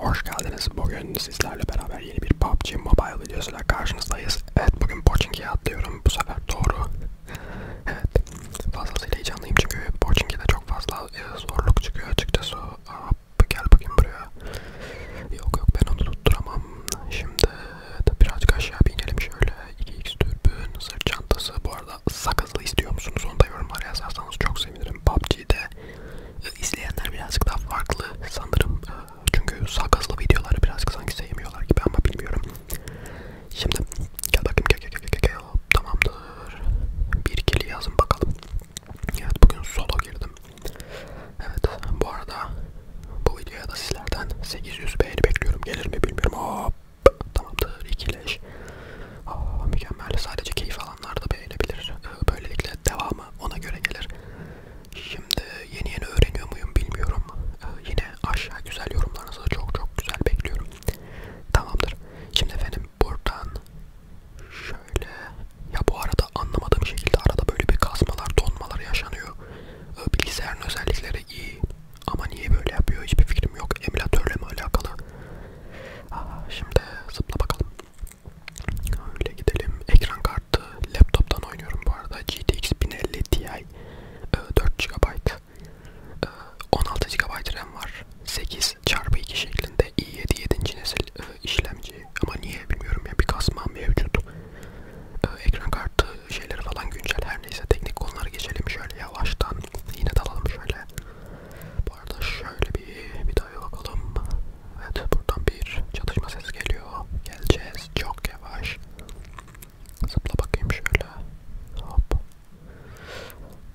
Hoş geldiniz. Bugün sizlerle beraber yeni bir PUBG Mobile videosuyla karşınızdayız. Evet bugün Pochinki'ye atlıyorum. Bu sefer doğru. evet. Fazlasıyla heyecanlıyım çünkü Pochinki'de çok fazla e, zorluk çıkıyor açıkçası. Aa, gel bakayım buraya. Yok yok ben onu tutturamam. Şimdi birazcık aşağı bir inelim şöyle. 2x türbün, sırt çantası. Bu arada sakızlı istiyor musunuz? Onu da yorumlara yazarsanız çok sevinirim. PUBG'de izleyenler birazcık daha farklı sanırım. Ee, çünkü sakızlı videoları birazcık sanki sevmiyorlar gibi ama bilmiyorum. Şimdi gel bakayım gel gel gel gel gel. Tamamdır. Bir ikili yazın bakalım. Evet bugün solo girdim. Evet bu arada bu videoya da sizlerden 800 beğeni bekliyorum. Gelir mi bilmiyorum. Hop. Tamamdır. İkileş. Aa, mükemmel. Sadece keyif alanlar da beğenebilir. Ee, böylelikle devamı mı ona göre gelir. Şimdi yeni yeni öğreniyor muyum bilmiyorum. Ee, yine aşağı güzel yorumlarınızı çok çok güzel bekliyorum. Tamamdır. Şimdi efendim buradan şöyle ya bu arada anlamadığım şekilde arada böyle bir kasmalar donmalar yaşanıyor. Ee, bilgisayarın özellikleri iyi ama niye böyle yapıyor hiçbir fikrim yok. Emülatörle mi alakalı? Aa, şimdi zıpla bakalım. Öyle gidelim. Ekran kartı laptop'tan oynuyorum bu arada. GTX 1050 Ti 4 GB 16 GB RAM var. 8 çarpı 2 şeklinde i7 7. nesil e, işlemci. Ama niye bilmiyorum ya bir kasma mevcut. E, ekran kartı şeyleri falan güncel her neyse teknik konulara geçelim şöyle yavaştan. Yine dalalım şöyle. Bu arada şöyle bir videoya bakalım. Evet buradan bir çatışma sesi geliyor. Geleceğiz çok yavaş. Zıpla bakayım şöyle. Hop.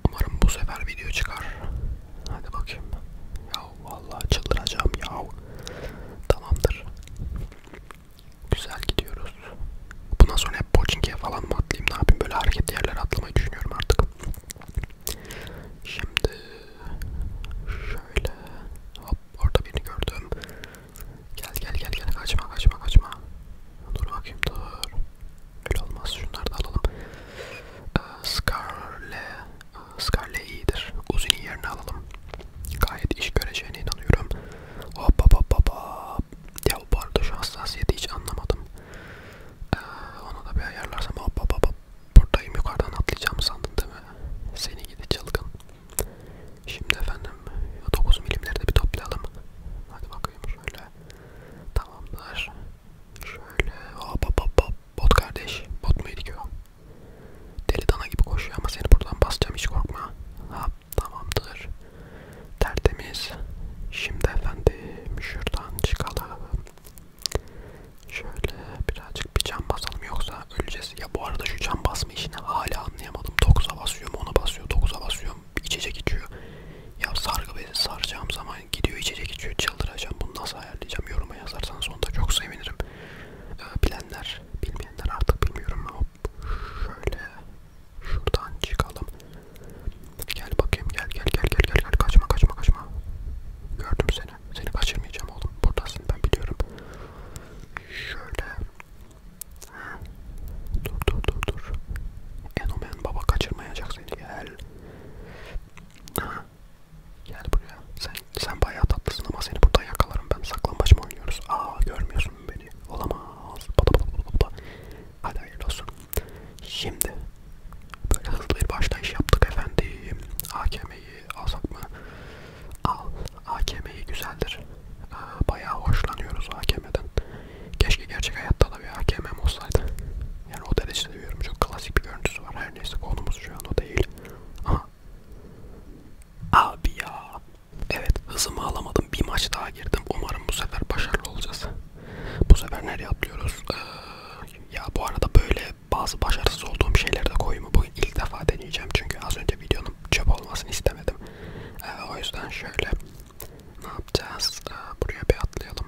Umarım bu sefer video çıkar. Hadi bakayım. Ya vallahi çıldıracağım ya. Tamamdır. Güzel gidiyoruz. Bundan sonra hep Pochinki'ye falan mı atlayayım ne yapayım böyle hareketli yerlere atlamayı düşünüyorum artık. Şimdi şöyle hop orada birini gördüm. Gel gel gel gel kaçma kaçma kaçma. Dur bakayım dur. Öyle olmaz şunları da alalım. Ee, Scarle, Scarle iyidir. Uzun'un yerine alalım. Gayet iş göreceğine inanıyorum. Hop hop hop hop hop. Ya bu arada şu hassasiyeti hiç anlamadım. Ee, onu da bir ayarlarsam hop hop hop hop. Buradayım yukarıdan atlayacağımı sandın değil mi? Seni gidi çılgın. Şimdi efendim 9 milimleri de bir toplayalım. Hadi bakayım şöyle. Tamamdır. Şöyle hop hop hop hop. Bot kardeş. Bot muydu ki o? Deli dana gibi koşuyor ama seni buradan basacağım hiç korkma. Ha tamamdır. Tertemiz. Şimdi efendim şuradan çıkalım. Şöyle birazcık bir cam basalım yoksa öleceğiz. Ya bu arada şu cam basma işini hala anlayamadım. 9'a basıyorum, ona basıyor, 9'a basıyorum. İçecek içiyor. Ya sargı bezi saracağım zaman gidiyor içecek içiyor. Çıldıracağım. Bunu nasıl ayarlayacağım? Yoruma yazarsanız onda çok sevinirim. Ee, bilenler, bilmeyenler artık bilmiyorum ama şöyle şuradan çıkalım. Gel bakayım gel gel gel gel gel gel kaçma kaçma kaçma. Gördüm seni. Seni kaçırmayacağım oğlum. Buradasın ben biliyorum. Şöyle. Dur dur dur dur. Enomen baba kaçırmayacak seni gel. Gel buraya. Sen sen bayağı tatlısın ama seni burada yakalarım ben. Saklambaç mı oynuyoruz? Aa görmüyorsun beni. Olamaz. Bada bada bada bada. Hadi hayırlı olsun. Şimdi Böyle hızlı bir başlayış yaptık efendim. AKM'yi alsak mı? Al. AKM'yi güzeldir. Ee, bayağı hoşlanıyoruz AKM'den. Keşke gerçek hayatta da bir AKM'm olsaydı. Yani o derece seviyorum. Çok klasik bir görüntüsü var. Her neyse konumuz şu an o değil. Aha. Abi ya. Evet hızımı alamadım. Bir maç daha girdim. Umarım bu sefer başarılı olacağız. Bu sefer nereye atlıyoruz? Ee, ya bu arada böyle bazı başarısız olduğum şeyleri de koyumu bugün ilk defa deneyeceğim. Çünkü az önce videonun çöp olmasını istemedim. Ee, o yüzden şöyle ne yapacağız? Ee, buraya bir atlayalım.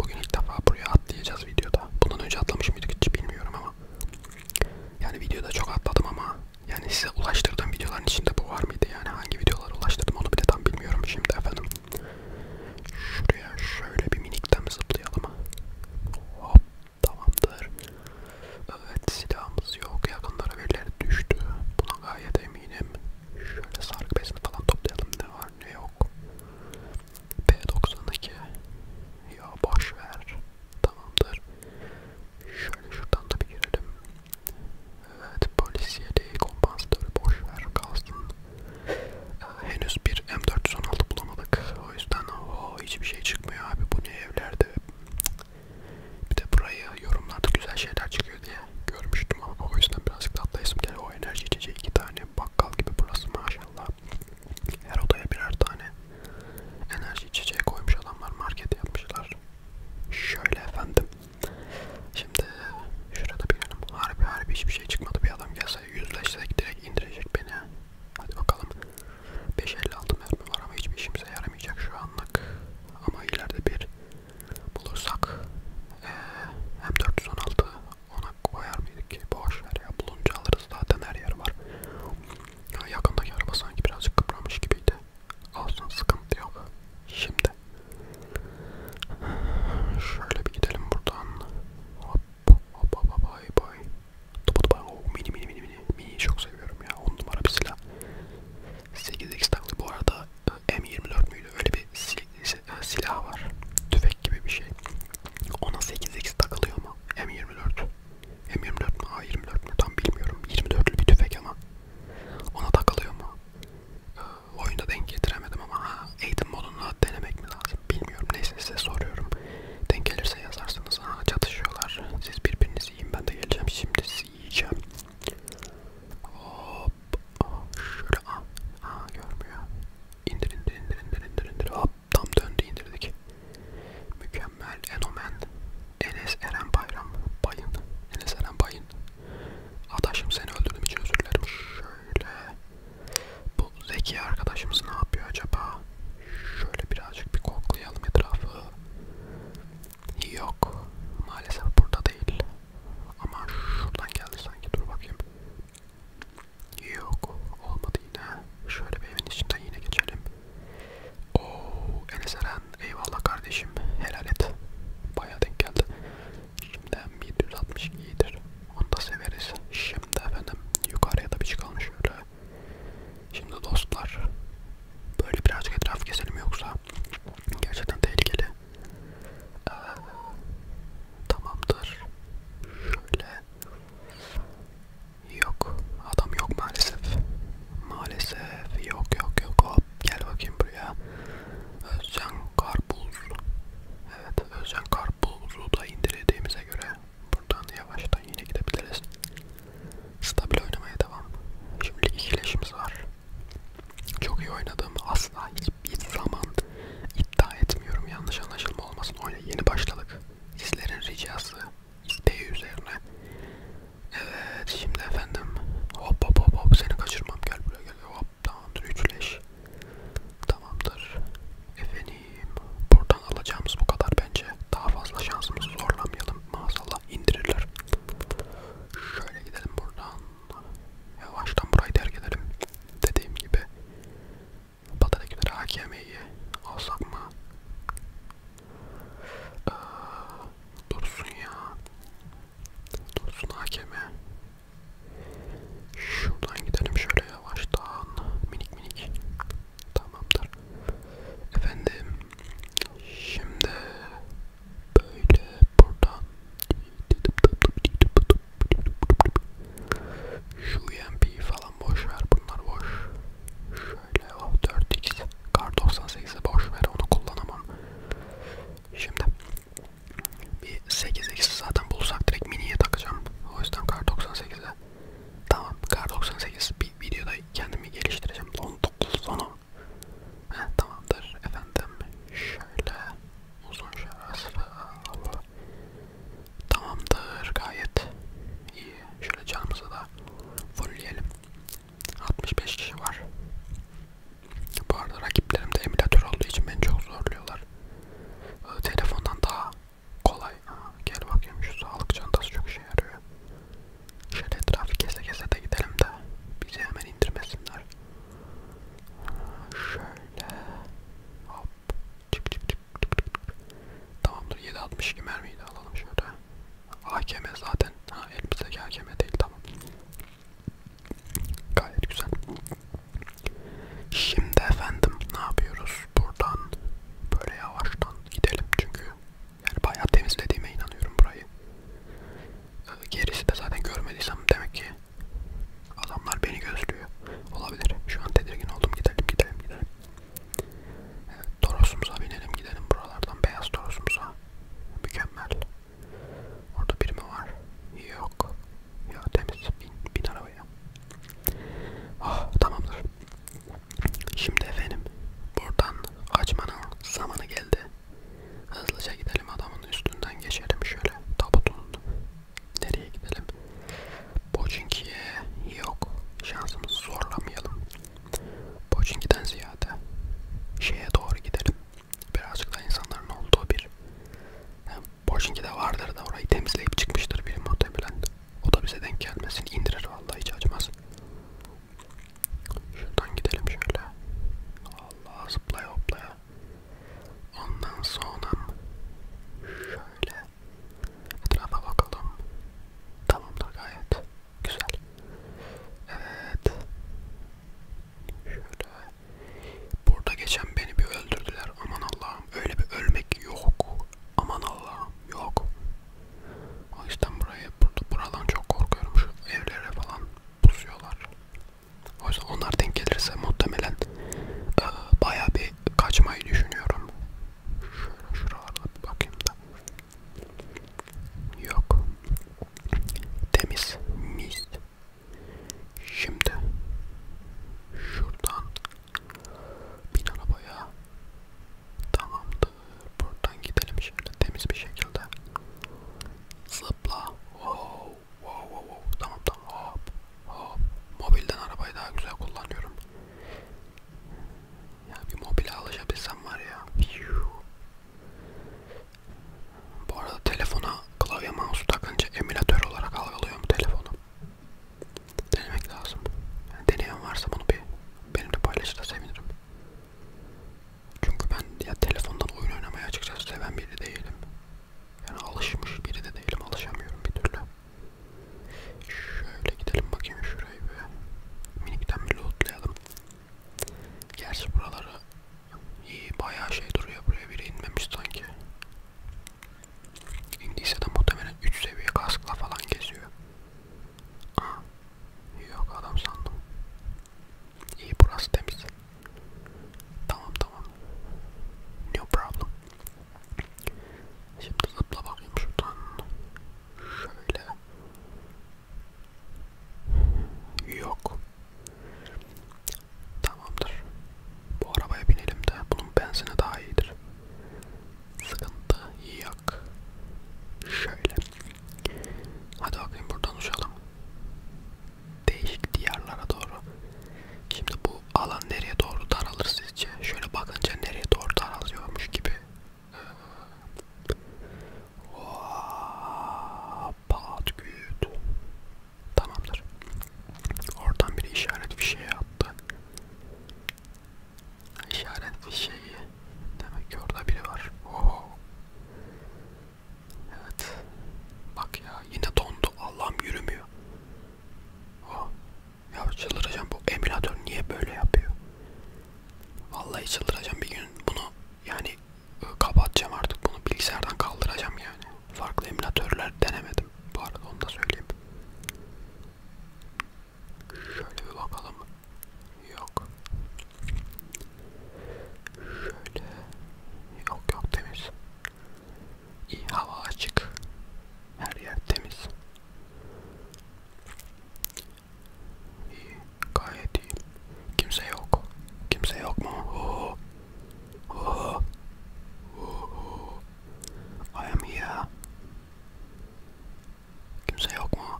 Bugün ilk defa buraya atlayacağız videoda. Bundan önce atlamış mıydık hiç bilmiyorum ama. Yani videoda çok atladım ama yani size ulaştırdığım videoların içinde bu var mıydı? Yani hangi videolara ulaştırdım onu bile tam bilmiyorum şimdi efendim. Şuraya şöyle bir minikten zıplayalım. Hop tamamdır. Evet silahımız yok. Yakınlara birileri düştü. Buna gayet eminim. Şöyle sargı bezini falan toplayalım. Ne var ne yok. P92. Ya boş ver. Tamamdır. Şöyle şuradan da bir girelim. Evet polisiyeli kompansatörü boş ver kalsın. Henüz bir M416 bulamadık. O yüzden o hiçbir şey çıkmıyor abi. Bu ne evlerde? Bir de burayı yorumlarda güzel şeyler çıkıyor diye görmüştüm ama o yüzden birazcık tatlayasım gel. O enerji içeceği iki tane bakkal gibi burası maşallah. Her odaya birer tane enerji içeceği koymuş adamlar market yapmışlar. Şöyle efendim. Şimdi şurada bir yanım harbi harbi hiçbir şey çıkmadı bir adam gelse yüzleşsek direkt indirecek beni. Hadi bakalım. 5.56 mermi var ama hiçbir işimize yaramayacak şu anlık. Ama ileride bir bulursak ee, hem 416 ona koyar mıydık ki? Boş ver ya. Bulunca alırız zaten her yer var. Ya yakındaki araba sanki birazcık kıpranmış gibiydi. Olsun sıkıntı yok. Şimdi Şöyle bir gidelim buradan. Hop hop hop hop bay bay. Topu topu oh, mini mini mini mini. Mini çok seviyorum ya. 10 numara bir silah. 8x taklı bu arada e, M24 müydü? Öyle bir sil e, silah var. Tüfek gibi bir şey. Ona 8x takılıyor ama M24. M24 mi? A24 mi? Tam bilmiyorum. 24'lü bir tüfek ama. Ona takılıyor mu? E, oyunda denk getiremedim ama ha, eğitim modunu denemek mi lazım bilmiyorum. Neyse size soruyorum. Denk gelirse yazarsınız. Ha, çatışıyorlar. Siz birbirinizi yiyin ben de geleceğim. Şimdi sizi yiyeceğim. Hop. Şöyle ha, ha görmüyor. İndir indir indir indir indir indir. Hop tam döndü indirdik. Mükemmel Enomen. Enes Eren Bayram. Bayın. Enes Eren Bayın. Adaşım seni öldürdüm için özür dilerim. Şöyle. Bu zeki arkadaşımız ne yapıyor acaba? Şöyle birazcık bir koklayalım etrafı. Yok. Maalesef burada değil. Ama şuradan geldi sanki. Dur bakayım. Yok. Olmadı yine. Şöyle bir evin içinden yine geçelim. Oo, Enes Eren. Eyvallah kardeşim. Helal et. Bayağı denk geldi. Şimdiden 762 iyidir. Onu da severiz. Şimdi efendim yukarıya da bir çıkalım şöyle. Şimdi dostlar böyle birazcık etraf keselim yoksa gerçekten tehlikeli. Ee, tamamdır. Şöyle. Yok. Adam yok maalesef. Maalesef yok yok yok. Hop gel bakayım buraya. Özcan ee, Karpuz. Evet, Özcan Karpuz'u da indirdiğimize göre buradan yavaştan yine gidebiliriz. Stabil oynamaya devam. Şimdi ikileşimiz var. Çok iyi oynadığımı asla hiçbir zaman iddia etmiyorum. Yanlış anlaşılma olmasın. Oyuna yeni başladık. Sizlerin ricası isteği üzerine. Evet, şimdi efendim hop hop hop hop seni kaçırmam. Gel buraya gel up down'dır üçleş tamamdır efendim buradan alacağımız bu kadar bence daha fazla şansımızı zorlamayalım maazallah indirirler şöyle gidelim buradan yavaştan burayı terk edelim dediğim gibi Batı'dakileri AKM'yi alsak mı? Ee, dursun ya. Dursun AKM. Şuradan gidelim şöyle yavaştan. Minik minik. Tamamdır. Efendim. Şimdi böyle buradan şu UMP e falan boş ver bunlar boş. Şöyle o oh, 4x kar 98'i boş ver onu kullanamam. Şimdi bir 8x zaten bulsak direkt miniye takacağım. O yüzden kar 98'e. Tamam kar 98 bir videoda kendimi geliştireceğim. 19 sonu. Heh, tamamdır efendim. Şöyle uzun şarası. Tamamdır gayet iyi. Şöyle canımızı da fullleyelim. 65 kişi var. Bu arada rakiplerim de emülatör olduğu için beni çok zorluyorlar. Ee, telefondan daha kolay. Aha, gel bakayım şu sağlık çantası çok işe yarıyor. Şöyle etrafı kese kese de gidelim de bizi hemen indirmesinler. Şöyle hop çık çık çık çık çık. Tamamdır 7.62 mermiyi de alalım şöyle. AKM zaten. Ha elimizdeki AKM değil tamam. Gayet güzel. Şimdi efendim ne yapıyoruz? Buradan böyle yavaştan gidelim çünkü yani bayağı temizlediğime inanıyorum burayı. Ee, gerisi de zaten görmediysem demek ki adamlar beni gözlüyor. Olabilir. Şu an tedirgin oldum. Gidelim gidelim gidelim. Evet, torosumuza binelim gidelim buralardan. Beyaz torosumuza. Mükemmel. Orada biri mi var? Yok. Ya temiz. Bin, bin arabaya. Oh tamamdır. Şimdi efendim buradan kaçmanın zamanı geldi. Hızlıca gidelim adamın üstünden geçelim şöyle tabutun. Nereye gidelim? Boçinki'ye yok. Şansımızı zorlamayalım. Boçinki'den ziyade şeye doğru gidelim birazcık da insanların olduğu bir yani Boşinki de vardır da orayı temizleyip çıkmıştır biri muhtemelen. O da bize denk gelmesin. indirir vallahi hiç acımaz. Şuradan gidelim şöyle. Allah zıplaya hoplaya. Ondan sonra şöyle etrafa bakalım. Tamamdır gayet. Güzel. Evet. Şöyle. Burada geçen beni bir öldürdüler. Aman Allah'ım. Öyle bir ölmek yok. Aman Allah'ım. Yok. O yüzden buraya, burada, buradan çok korkuyorum. Şu evlere falan pusuyorlar. O yüzden onlar denk gelirse muhtemelen e, baya bir kaçmayı düşünüyorum. Şöyle şuralarda bir bakayım da. Yok. Temiz. Mis. Şimdi şuradan bin arabaya tamamdır. Buradan gidelim şöyle temiz bir şekilde. Zıpla. Wow, wow, wow, wow. Tamam tamam. Hop, hop. Mobilden arabayı daha güzel kullanıyorum. Ya bir mobile alışabilsem var ya. Bu arada telefona klavye mouse takınca emülatör olarak algılıyor mu telefonu? Denemek lazım. Yani deneyen varsa bunu bir benimle paylaşırsa sevinirim. Çünkü ben ya telefondan oyun oynamayı açıkçası seven biri değilim. Yani alışmış biri de değilim. Alışamıyorum bir türlü. Şöyle gidelim bakayım şurayı bir. Minikten bir lootlayalım. Gerçi buraları iyi bayağı şey duruyor. Buraya biri inmemiş sanki. İndiyse de muhtemelen 3 seviye kaskla falan geziyor. Aha. Yok adam sandım. İyi burası temiz. Tamam tamam. No problem. Şimdi zıpla bakayım şuradan. Şöyle. Yok. Tamamdır. Bu arabaya binelim de bunun benzini daha iyidir. Sıkıntı yok. Şöyle. Hadi bakayım buradan uçalım. Değişik diyarlara doğru. Şimdi bu alan nereye doğru daralır sizce? Şöyle bakınca nereye doğru daralıyormuş gibi. Hop. Ee, Pat güt. Tamamdır. Oradan bir işaret fişeği attı. İşaret fişeği. Demek ki orada biri var. Oho. Evet. Bak ya yine dondu. Allah'ım yürümüyor. Oh. Ya çıldıracağım. Bu emülatör niye böyle yapıyor? Vallahi çıldıracağım bir gün bunu yani e, kapatacağım artık bunu bilgisayardan kaldıracağım yani. Farklı emülatörler denemedim. Bu arada onu da söyleyeyim. Şöyle bir bakalım. Yok. Şöyle. Yok yok temiz. İyi hava açık. Her yer temiz. İyi. Gayet iyi. Kimse yok. Kimse yok mu? Oh. Oh. Oh. I am here. Kimse yok mu?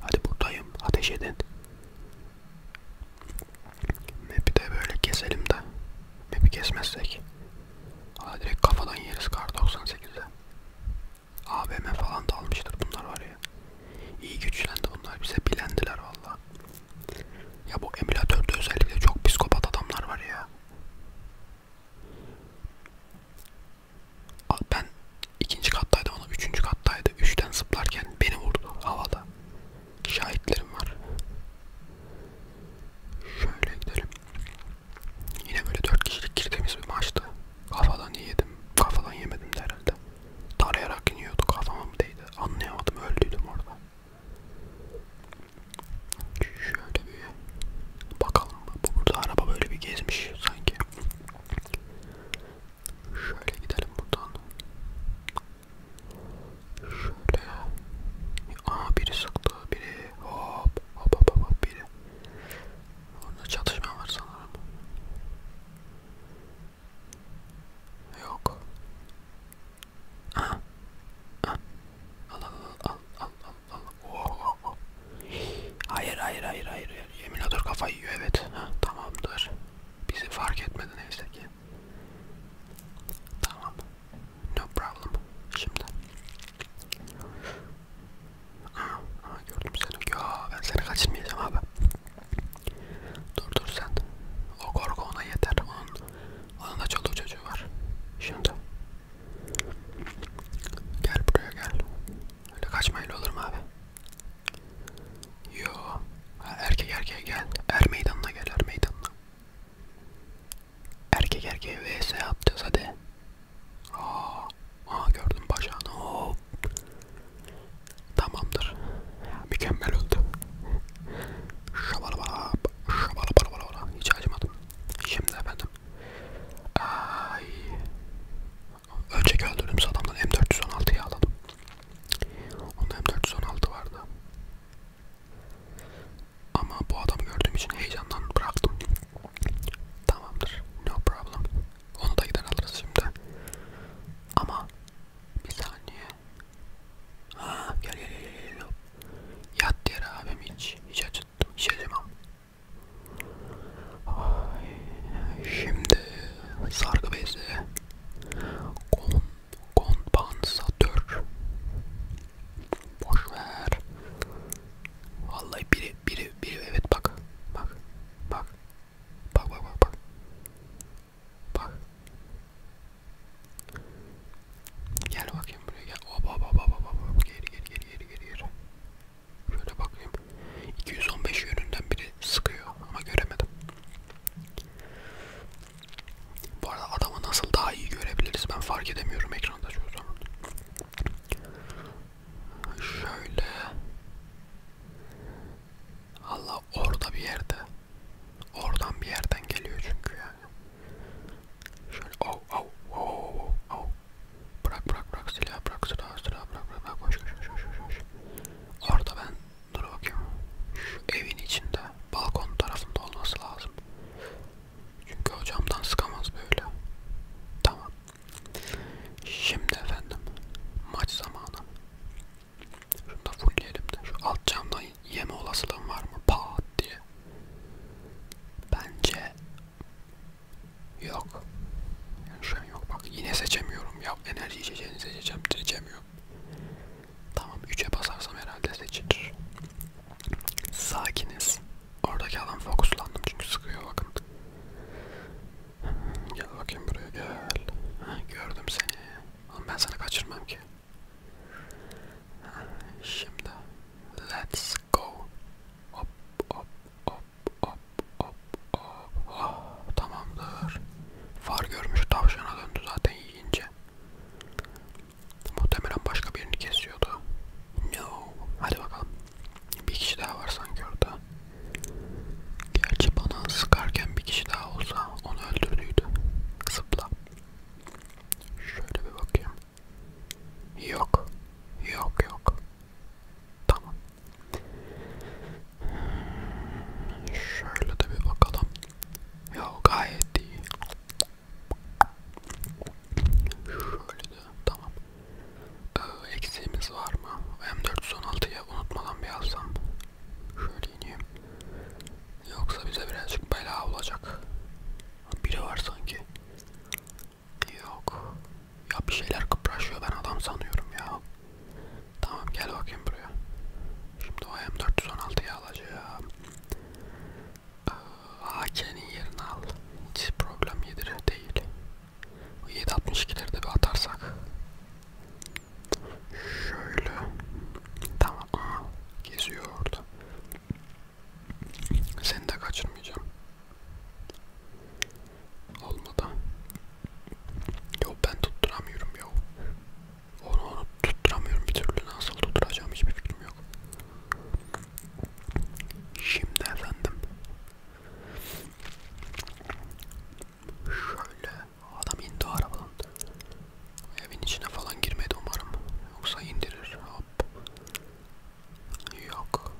Hadi buradayım. Ateş edin. Map'i de böyle keselim de. Map'i kesmezsek. Aa, direkt kafadan yeriz kar 98'e. ABM falan da almıştır bunlar var ya oraya. İyi güçlendi bunlar bize bilendiler valla. Ya bu emülatörde özellikle çok psikopat adamlar var ya. Ben ikinci kattaydım ona üçüncü kattaydı. Üçten zıplarken beni vurdu havada. Şahitlerim var. Şöyle gidelim. Yine böyle dört kişilik girdiğimiz bir maçtı. Kafadan yedim. Kafadan yemedim de herhalde. Tarayarak iniyordu kafama mı değdi anlayamadım öldüydüm orada. Şöyle bir bakalım bu burada araba böyle bir gezmiş sanki. Şöyle gidelim buradan. Şöyle. Aa biri sıktı biri hop hop hop hop biri. Orada çatışma var sanırım. Yok. Aha. Aha. Al al al al al al. Oh, oh. Hayır hayır hayır hayır. Yeminatör kafayı yiyor evet. Ha, tamamdır. Bizi fark etmedi neyse ki. Tamam. No problem. Şimdi. Aa, aa gördüm seni. Ya ben seni kaçırmayacağım abi. Dur dur sen. O korku ona yeter. Onun, onun da çoluğu çocuğu var. Şimdi. Gel buraya gel. Öyle kaçmayla olur mu abi? Yo. Ha, erkek erkeğe gel. Er meydanına gel er meydanına. Erkek erkeğe vs yapacağız hadi. Aa, aa gördüm bacağını. Hop. Tamamdır. Mükemmel öldü. Şabalabala, şabalabala, hiç acımadım. Şimdi efendim. Ay. Önceki öldürdüğümüz adamdan M416'yı aldım. Onda M416 vardı. Ama bu adamı gördüğüm için heyecandan bıraktım. Tamamdır. No problem. Onu da gider alırız şimdi. Ama bir saniye. Ha gel gel gel gel. gel. Yat diğer abim hiç hiç acıttım hiç acımam. Şimdi sargı bezi. Kon kompansatör. Boş ver. Vallahi biri biri biri evet bak bak bak Bak bak bak bak. Bak. Gel bakayım buraya gel. Hop hop hop hop hop. Geri geri geri geri geri geri. Şöyle bakayım. 215 yönünden biri sıkıyor ama göremedim. Bu arada adamı nasıl daha iyi görebiliriz ben fark edemiyorum ekranda şu zaman. Şöyle. Allah orada bir yerde. Oradan bir yerden geliyor çünkü yani. Şöyle oh oh oh oh. Bırak bırak bırak silah bırak silah silah bırak bırak bırak koş koş koş koş koş. Orada ben dur bakayım. Şu evin içinde balkon tarafında olması lazım. Çünkü o camdan sıkamaz böyle. Tamam Şimdi efendim maç zamanı. Şunu da fullleyelim de. Şu alt camdan yeme olasılığım var mı? Pat diye. Bence yok. Yani şu an yok. Bak yine seçemiyorum. Ya enerji içeceğini seçeceğim. Seçemiyorum. Tamam 3'e basarsam herhalde seçilir. Sakiniz. Oradaki adam fokuslandım çünkü sıkıyor bakın. Gel bakayım buraya gel. Ha, gördüm seni. Oğlum ben sana kaçırmam ki. Ha, şimdi let's go. Hop hop hop hop hop hop. Oh, tamamdır. Far görmüş tavşana döndü zaten yiyince. Muhtemelen başka birini kesiyordu. No. Hadi bakalım. Bir kişi daha var sanki orada. Gerçi bana sıkarken bir kişi daha olsa onu öldürdüydü. Zıpla. Şöyle bir bakayım. Yok. Yok yok. Tamam. Şöyle de bir bakalım. Ya gayet iyi. Şöyle de tamam. Ee, eksiğimiz var mı? M416'ya unutmadan bir alsam. Şöyle ineyim. Yoksa bize birazcık bela olacak. Biri var sanki. Yok. Ya bir şeyler kıpraşıyor ben adam sanıyorum ya. Tamam gel bakayım buraya. Şimdi o M416'yı alacağım. Ee, AK'nin yerini al. Hiç problem yedire değil. 7.62'leri de bir atarsak. Şöyle. Tamam. Aa, geziyor orada. Seni de kaçırmayacağım. Olmadı. Yo ben tutturamıyorum yo. Onu, onu tutturamıyorum bir türlü. Nasıl tutturacağım hiçbir fikrim yok. Şimdi efendim. Şöyle adam indi arabadan. Evin içine falan girmedi umarım. Yoksa indirir. Hop. Yok.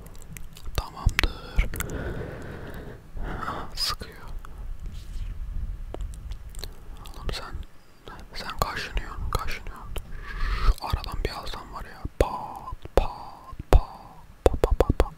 Tamamdır. Ah, sıkıyor. Oğlum sen sen kaşınıyorsun, kaşınıyorsun. Şu aradan bir alsam var ya. Pat pat pat pat pat pat.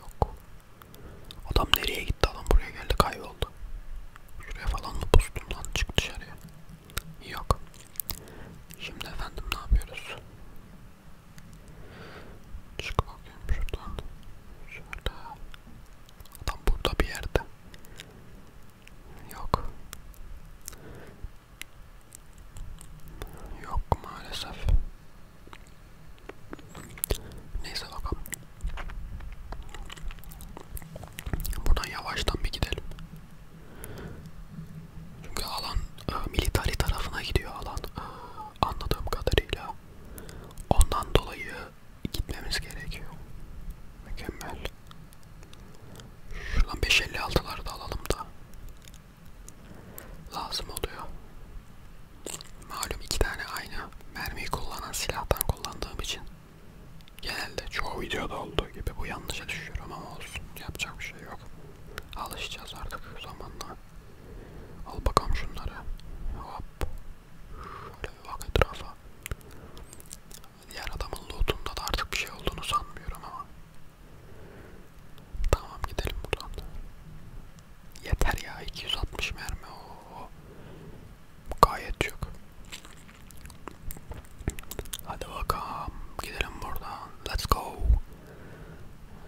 Yok. Adam nereye gitti? Adam buraya geldi kayboldu. Şuraya falan mı bustun lan? Çık dışarıya. Yok. Şimdi efendim ne yapıyoruz? Çık bakayım şuradan. Şöyle. Adam burada bir yerde. Yok. Yok maalesef. Neyse bakalım. Buradan yavaştan bir gidelim. Çünkü alan e, militari tarafına gidiyor alan. E, anladığım kadarıyla. Ondan dolayı gitmemiz gerekiyor. Mükemmel. Şuradan 5.56'ları da alalım da lazım oluyor. Malum iki tane aynı mermiyi kullanan silahtan kullandığım için genelde çoğu videoda olduğu gibi bu yanlışa düşüyorum ama olsun yapacak bir şey yok. Alışacağız artık zamanla. Al bakalım şunları. Hop. Şöyle bir bak etrafa. Diğer adamın lootunda da artık bir şey olduğunu sanmıyorum ama. Tamam gidelim buradan yeter ya 260 mermi o, o. gayet çok. Hadi bakalım gidelim buradan. Let's go.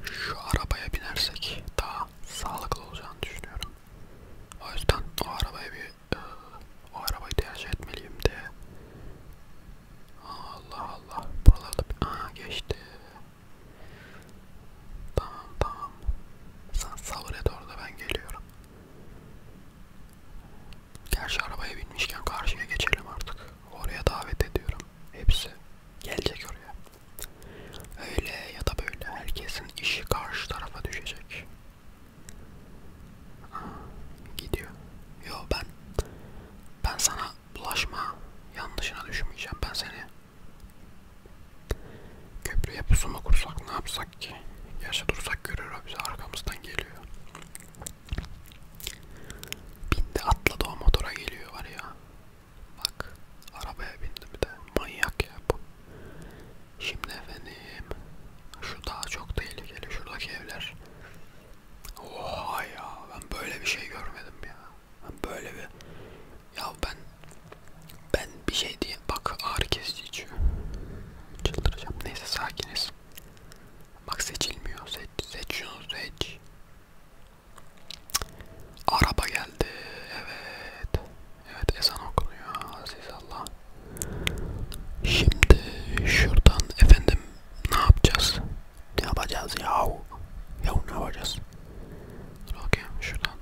Şu arabaya binersek daha sağlıklı olacağını düşünüyorum. O yüzden o arabayı bir o arabayı tercih etmeliyim de. Allah Allah. Buralarda bir... Aa geçti. Tamam tamam. Sen sabır et orada ben geliyorum. Gerçi arabaya binmişken karşıya geçelim artık. Oraya davet ediyorum. Hepsi gelecek oraya. Öyle ya da böyle herkesin işi karşı tarafa düşecek. Ha, gidiyor. Yo ben ben sana bulaşma yanlışına düşmeyeceğim. Ben seni Köprüye pusuma kursak ne yapsak ki? Yaşa dursak görür o bizi arkamızdan geliyor. Bindi atladı o motora geliyor var ya. Bak arabaya bindi bir de. Manyak ya bu. Şimdi efendim. Şu daha çok tehlikeli. Şuradaki evler. Oha ya ben böyle bir şey görmedim ya. Ben böyle bir ya ben ben bir şey diye bak ağrı kesici içiyor. Çıldıracağım. Neyse sakiniz. Bak seçilmiyor. Seç, seç şunu seç. Araba geldi. Evet. Evet ezan okunuyor. Aziz Allah. Şimdi şuradan efendim ne yapacağız? Ne yapacağız yahu? Yahu ne yapacağız? Dur bakayım şuradan.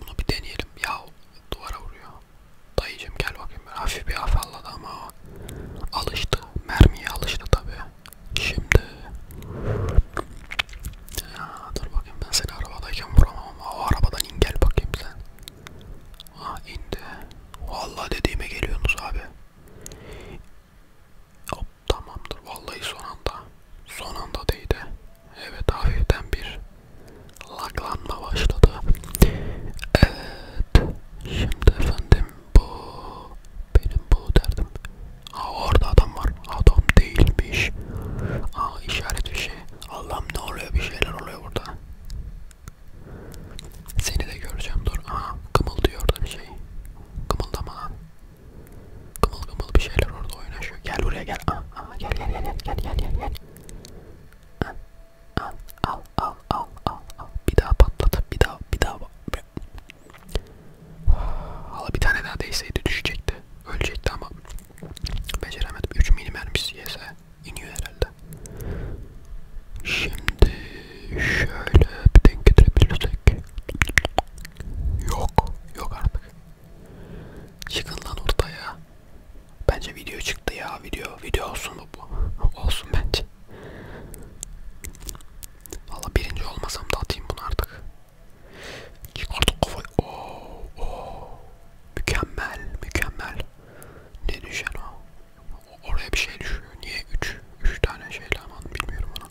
Bunu bir deneyelim. Yahu duvara vuruyor. Dayıcım gel bakayım. Böyle hafif bir afalladı ama alıştı. Mermiye alıştı tabi. Şimdi. Ya, dur bakayım ben seni arabadayken vuramam ama o arabadan in gel bakayım sen. Ha indi. Vallahi dediğime geliyorsunuz abi. Hop Tamamdır. Vallahi son anda. Son anda değdi. Evet hafiften bir laglanma başladı. Evet. Şimdi efendim bu benim bu derdim. Aa orada adam var. Adam değilmiş. Aa işaret bir şey. Allah'ım ne oluyor bir şeyler oluyor burada. Seni de göreceğim dur. Aha kımıldıyordun şey. Kımıldama. Kımıl kımıl bir şeyler orada oynaşıyor. Gel buraya gel. Aa, aa, gel gel gel gel gel gel gel. Al al al al al al. Bir daha patlat. Bir daha bir daha. Hala bir tane daha değseydi düşecekti. Ölecekti ama beceremedim. 3 milim mermisi yese iniyor herhalde. Şimdi şöyle bir denk getirebilirsek. Yok. Yok artık. Çıkın lan ortaya. Bence video çıktı ya. Video video olsun mu bu? olsun bence. Valla birinci olmasam da atayım bunu artık. Çık artık kafayı. Oo, oo. Mükemmel. Mükemmel. Ne düşen o? Oraya bir şey düşüyor. Niye 3 3 tane şeyle aman bilmiyorum onu.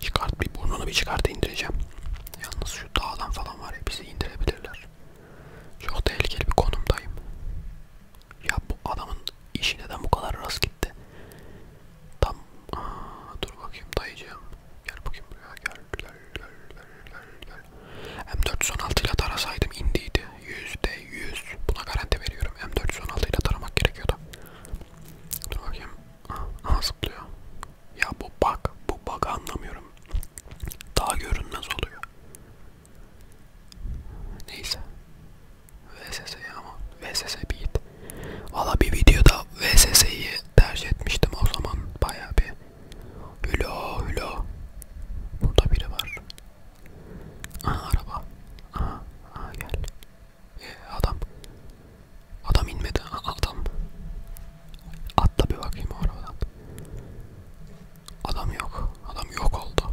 Çıkart bir burnunu bir çıkart indireceğim. Yalnız şu dağdan falan var ya bizi indirebilirler. Çok tehlikeli bir konumdayım. Ya bu adamın işi neden bu kadar rast gitti? Tam aa, dur bakayım dayıcığım. Gel bakayım buraya gel gel gel gel gel. M416 ile tarasaydım indiydi. Yüzde yüz. Buna garanti veriyorum. M416 ile taramak gerekiyordu. Dur bakayım. Aha zıplıyor. Ya bu bak, bu bug'ı anlamıyorum. Daha görünmez oluyor. Neyse. VSS ama VSS beat. Valla bir videoda VSS'yi tercih etmiştim o zaman bayağı bir. Hülo hülo. Burada biri var. Aha araba. Aha, aha gel. E, adam. Adam inmedi. Adam. Atla bir bakayım o arabadan. Adam yok. Adam yok oldu.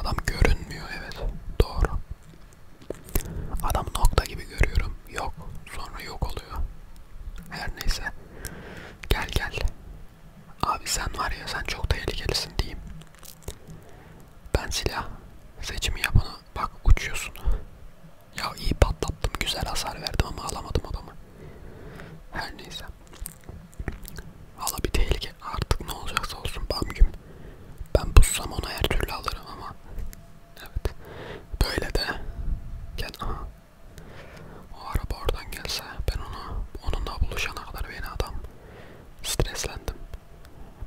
Adam görünmüyor evet. Doğru. Adam nokta gibi görüyorum. Yok. Sonra yok oluyor. Her neyse. Gel gel. Abi sen var ya sen çok tehlikelisin diyeyim. Ben silah seçimi yapana Bak uçuyorsun. Ya iyi patlattım. Güzel hasar verdim ama alamadım adamı. Her neyse. Valla bir tehlike. Artık ne olacaksa olsun bamgüm. Ben bussam ona her türlü alırım ama. Evet. Böyle de. Gel. Aha. O araba oradan gelse ben ona onunla buluşana kadar beni adam streslendim.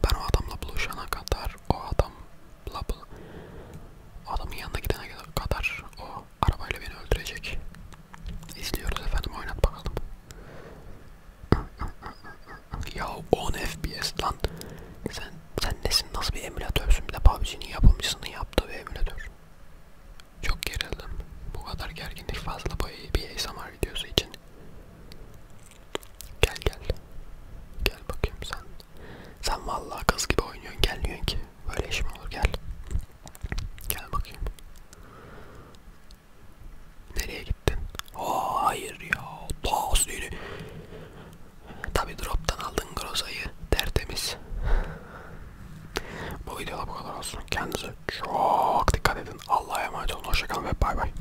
Ben o adamla buluşana kadar kadar o adam bla bla adamın yanına gidene kadar o arabayla beni öldürecek. İzliyoruz efendim oynat bakalım. Ya 10 FPS lan. Sen sen nesin nasıl bir emülatörsün bir de PUBG'nin yapımcısının yaptığı bir emülatör. Çok gerildim. Bu kadar gerginlik fazla bu bir ASMR videosu için. Gel gel. Gel bakayım sen. Sen vallahi kız gibi oynuyorsun gelmiyorsun ki. Böyle iş mi olur gel. Gel bakayım. Nereye gittin? Aa hayır ya. Daha seni. Tabi drop'tan aldın Groza'yı. Tertemiz. bu videoda bu kadar olsun. Kendinize çok dikkat edin. Allah'a emanet olun. Hoşçakalın ve bay bay.